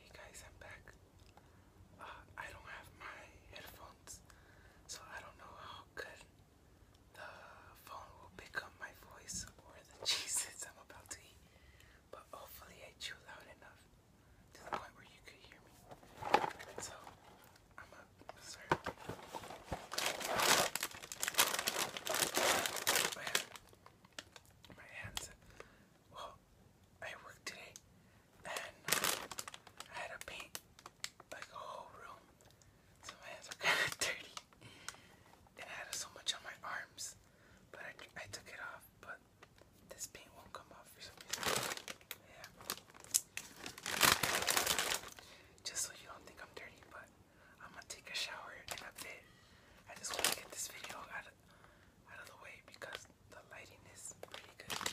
Hey guys, I'm back. Uh, I don't have my headphones, so I don't know how good the phone will pick up my voice or the cheeses I'm about to eat, but hopefully I chew loud enough to the point where you could hear me. So I'm up, My hands, well, I worked today and I had to paint like a whole room. So my hands are kind of dirty. And I had so much on my arms, but I, took it off. But this paint won't come off for some reason. Yeah. Just so you don't think I'm dirty, but I'm gonna take a shower in a bit. I just want to get this video out of, the way because the lighting is pretty good.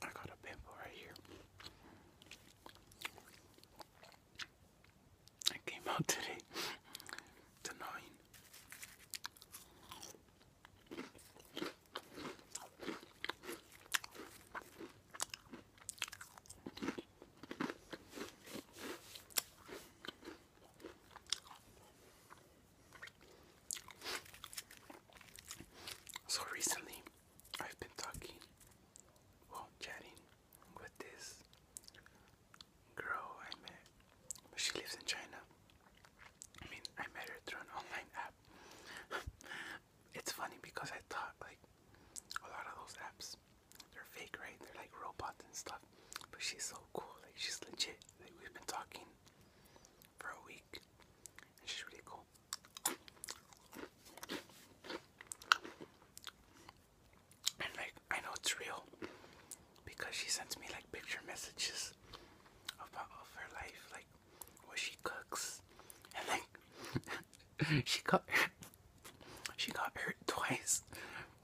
I got a pimple right here. It came out today. So recently, I've been talking, well, chatting with this girl I met. She lives in China. I mean, I met her through an online app. it's funny because I thought like a lot of those apps, they're fake, right? They're like robots and stuff. But she's so cool. Like she's legit. Like we've been talking for a week, and she's really cool. And like I know it's real because she sends me like picture messages about of her life, like what she cooks. And like she got she got hurt twice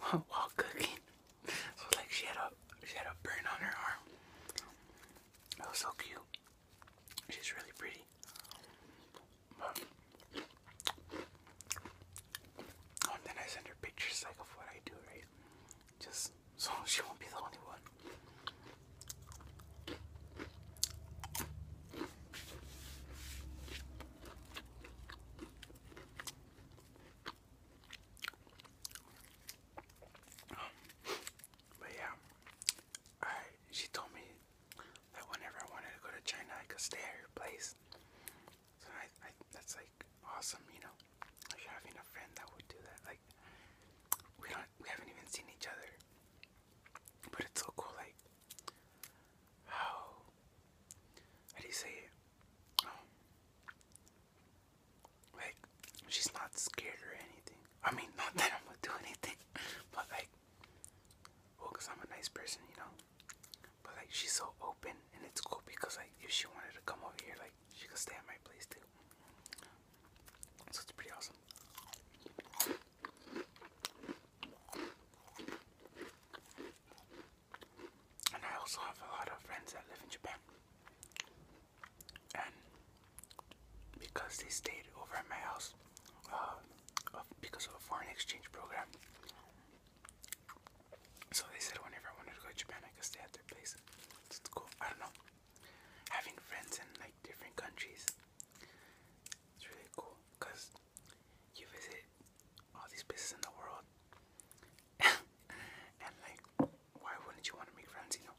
while cooking. So like she had a she had a burn on her arm. That was so cute. She's really pretty. Oh, and then I send her pictures like of what I do, right? Just so she won't be the only one. but yeah, I she told me that whenever I wanted to go to China, I could stay at your place. So I, that's like awesome, you know, like having a friend that would do that. Like we don't, we haven't even seen each other, but it's so cool. Like how, how do say it? Um, like she's not scared or anything. I mean, not that I'm gonna do anything, but like well, oh, cause I'm a nice person, you know. But like she's so open, and it's cool because like if she wanted to come over here, like she could stay at my place too. So it's pretty awesome. And I also have a lot of friends that live in Japan. And because they stayed over at my house, uh, because of a foreign exchange program. So they said whenever I wanted to go to Japan, I could stay at their place. It's cool. I don't know. Having friends in like different countries, it's really cool because you visit all these places in the world, and like, why wouldn't you want to make friends? You know.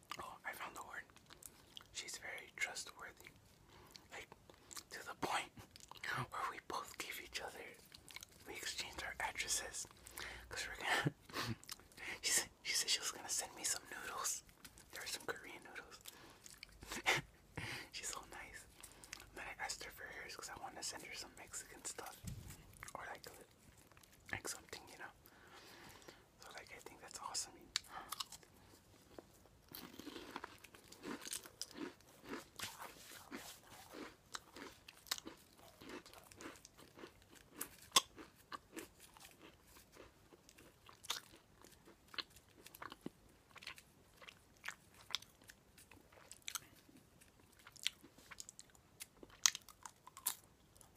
Oh, I found the word. She's very trustworthy. Like, to the point where we both give each other, we exchanged our addresses. Cause we're gonna, she, said, she was gonna send me some noodles. There were some Korean noodles. She's so nice. then I asked her for hers because I wanted to send her some Mexican stuff. Or like, like something, you know. So like I think that's awesome.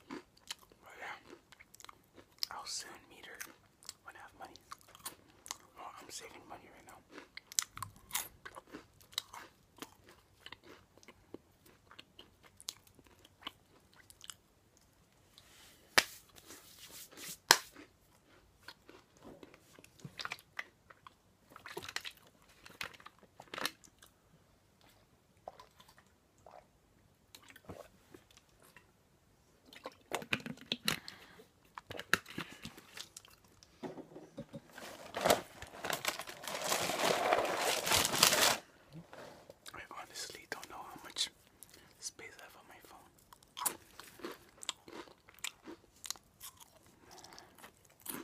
But yeah, I'll soon meet her when I have money. Well, I'm saving money right now. I honestly don't know how much space I have on my phone.